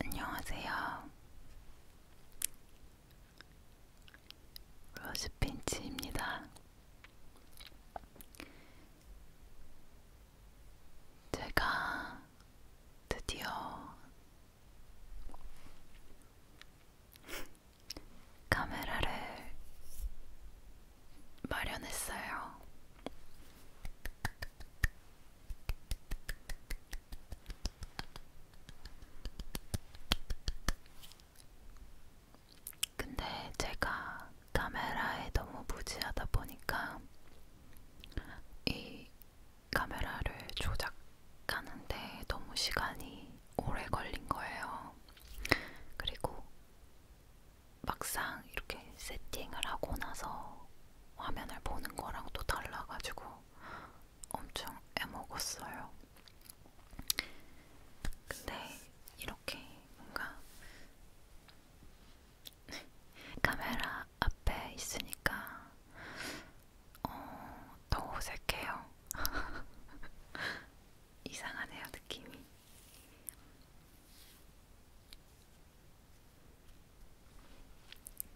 안녕하세요. 로즈핀치입니다. 제가 드디어 카메라를 마련했어요. 근데 제가 카메라에 너무 무지하다 보니까 이 카메라를 조작하는데 너무 시간이 오래 걸린 거예요. 그리고 막상 이렇게 세팅을 하고 나서 화면을 보는 거랑 또 달라가지고 엄청 애먹었어요. 근데 이렇게 뭔가 카메라 앞에 있으니까 어, 더 어색해요. 이상하네요, 느낌이.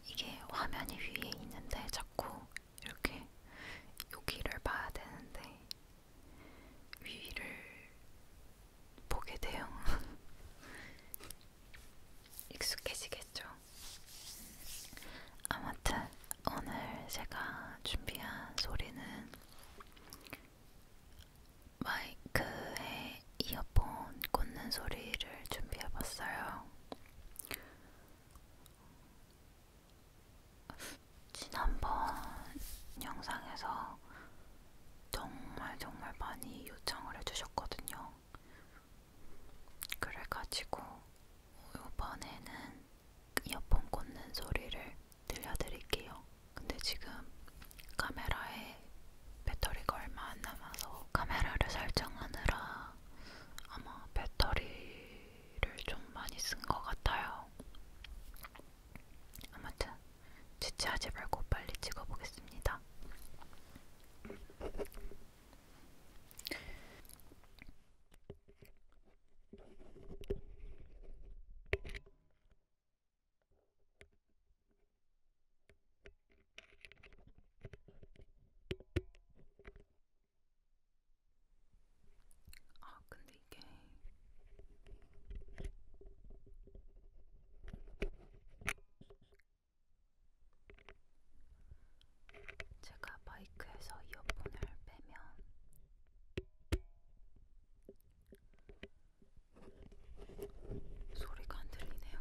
이게 화면이 위에 있는데 자꾸 이렇게 여기를 봐야 되는데 위를 보게 돼요. 익숙해지겠죠. 아무튼 오늘 제가 준비한 소리는 마이크에 이렇게 이어폰 꽂는 소리를 준비해봤어요. 지난번 영상에서 정말 정말 많이 요청을 해주셨거든요. 그래가지고 이번에는 이어폰 꽂는 소리를 들려드릴게요. 근데 지금 카메라에 배터리가 얼마 안 남아서 카메라를 설정하느라 아마 배터리를 좀 많이 쓴 것 같아요. 아무튼 지체하지 말고 빨리 찍어보겠습니다. 아, 근데 이게 제가 마이크에서 이어폰을 빼면 소리가 안 들리네요.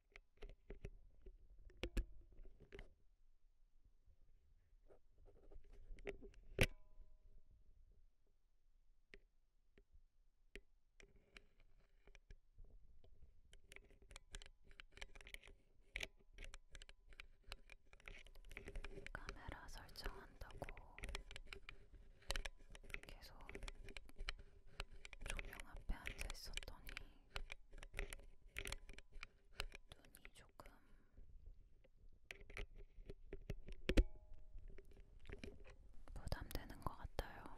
카메라 설정한다고 계속 조명 앞에 앉아 있었더니 눈이 조금 부담되는 것 같아요.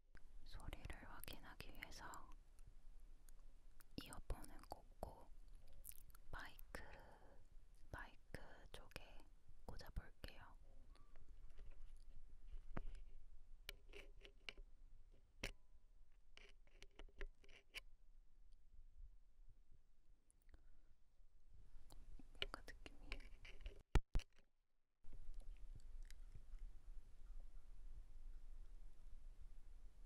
소리를 확인하기 위해서 이어폰을 꽂고 마이크, 마이크 쪽에 꽂아볼게요. 뭔가 느낌이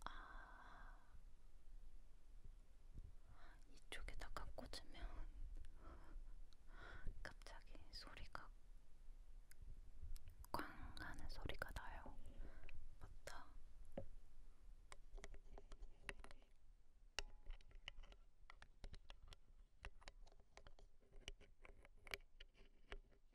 아, 이쪽에다가 꽂으면 갑자기 소리가 꽝 하는 소리가 나요. 맞다.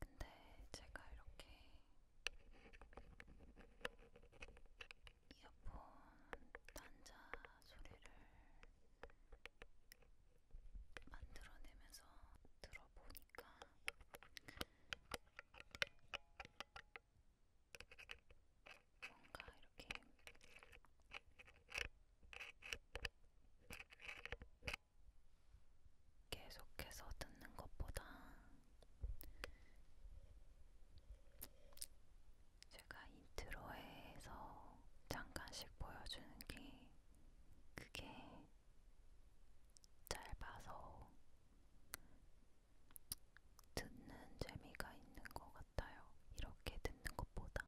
근데 제가 이렇게 이어폰 단자 소리를 만들어내면서 들어보니까 뭔가 이렇게 계속해서 듣는 것보다 제가 인트로에서 잠깐씩 보여주는 게 그게 짧아서 듣는 재미가 있는 것 같아요. 이렇게 듣는 것보다.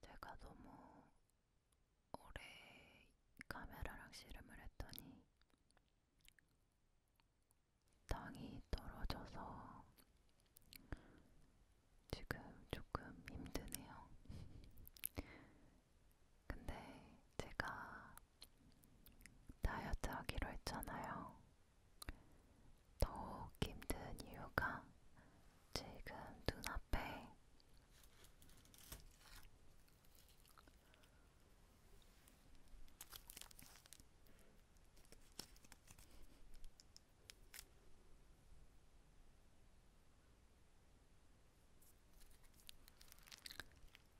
제가 너무 오래 카메라랑 씨름을 했더니 땅이 떨어져서 지금 조금 힘드네요. 근데 제가 다이어트 하기로 했잖아요. 더욱 힘든 이유가 지금 눈앞에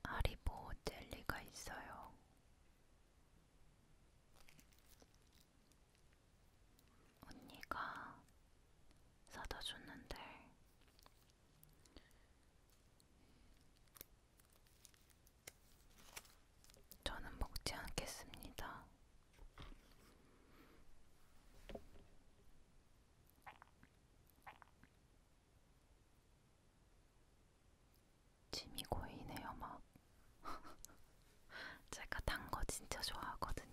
하리보 젤리가 있어요. 언니가 사다 줬는데 저는 먹지 않겠습니다. 침이 고이네요 막 제가 단 거 진짜 좋아하거든요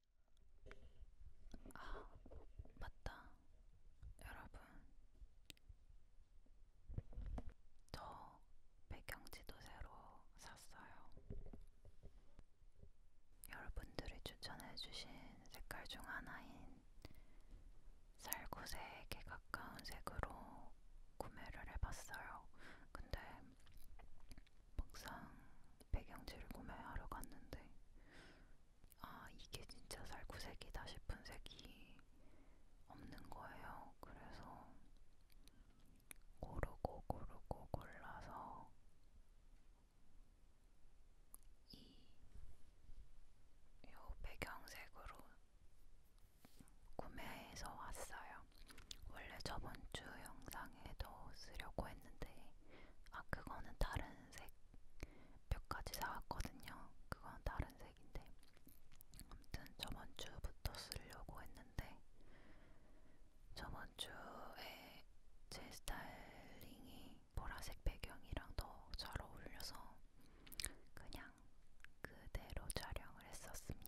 아, 맞다. 여러분, 저 배경지도 새로 샀어요. 여러분들이 추천해주신 색깔 중 하나인 살구색에 가까운 색으로 구매를 해봤어요. 근데 막상 배경지를 구매하러 갔는데 아 이게 진짜 살구색이다 싶은 색이 없는 거예요. 그래서 고르고 고르고 골라서 이요 배경색으로 구매해서 왔어요. 원래 저번 주 영상 색상에도 쓰려고 했는데 아 그거는 다른 색몇 가지 사왔거든요. 그건 다른 색인데 아무튼 저번 주부터 쓰려고 했는데 저번 주에 제 스타일링이 보라색 배경이랑 더 잘 어울려서 그냥 그대로 촬영을 했었습니다.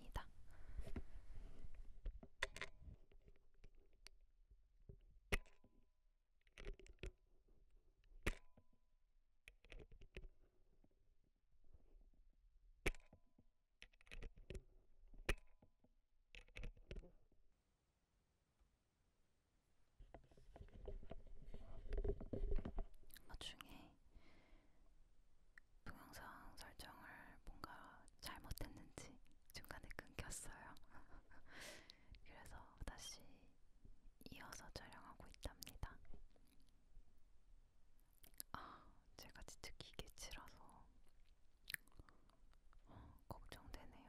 나중에 동영상 설정을 뭔가 잘못했는지 중간에 끊겼어요. 그래서 다시 이어서 촬영하고 있답니다. 아, 제가 진짜 기계 치라서 어, 걱정되네요.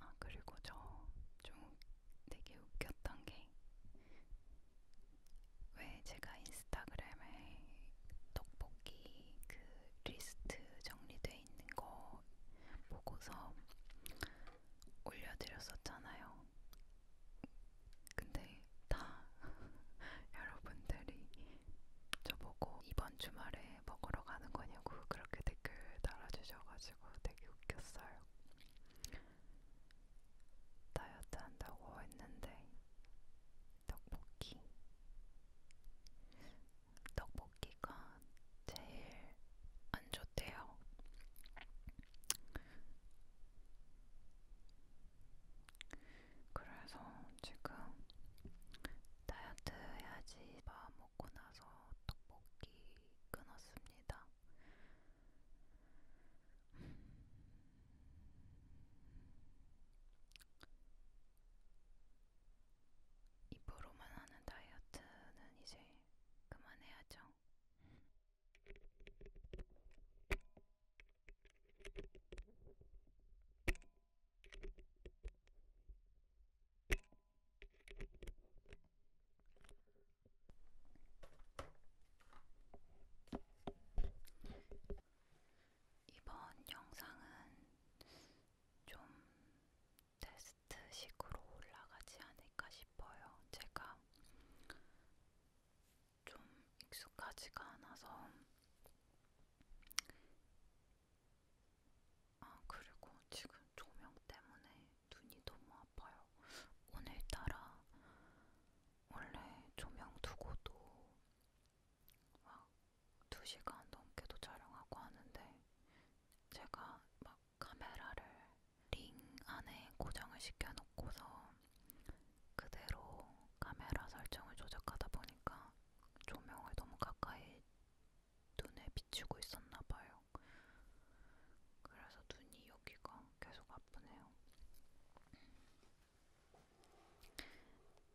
아, 그리고 저 좀 되게 웃겼던 게 왜 제가 인스타그램에 떡볶이 그 리스트 정리돼 있는 거 보고서 올려드렸었잖아요. 근데 다 여러분들이 저보고 이번 주말에 먹으러 가는 거냐고 그렇게 댓글 달아주셔가지고 되게 웃겼어요. 다이어트 한다고 했는데 떡볶이 떡볶이가 제일 안 줬대요. 그래서 지금 다이어트 해야지 밥 먹고 나서 떡볶이 끊었습니다. 입으로만 하는 다이어트는 이제 그만해야죠. 거예요. 이번 영상은 좀 테스트식으로 올라가지 않을까 싶어요. 제가 좀 익숙하지가 않아서 아 그리고 지금 조명 때문에 눈이 너무 아파요. 오늘따라 원래 조명 두고도 막 2시간 넘게도 촬영하고 하는데 제가 막 카메라를 링 안에 고정을 시켜놓고서 그대로 카메라 설정을 조작하다 보니까 조명을 너무 가까이 눈에 비추고 있었나봐요. 그래서 눈이 여기가 계속 아프네요.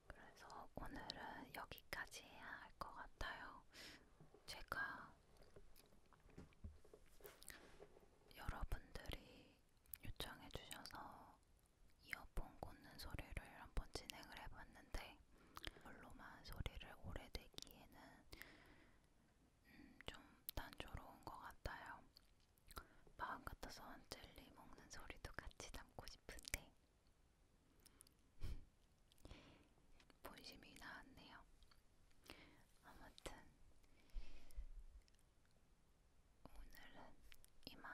그래서 오늘은 여기까지 해야 할 것 같아요. 제가 여러분들이 요청해 주셔서 이어폰 꽂는 소리를 한번 진행을 해봤는데 별로만 소리를 오래 내기에는 음, 좀 단조로운 것 같아요. 마음 같아선 젤리 먹는 소리도 같이 담고 싶은데 본심이 나왔네요. 아무튼 오늘은 이만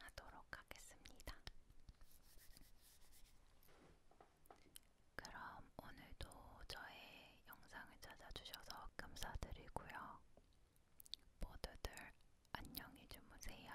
하도록 하겠습니다. 그럼 오늘도 저의 영상을 찾아주셔서 감사드리고요. 모두들 안녕히 주무세요.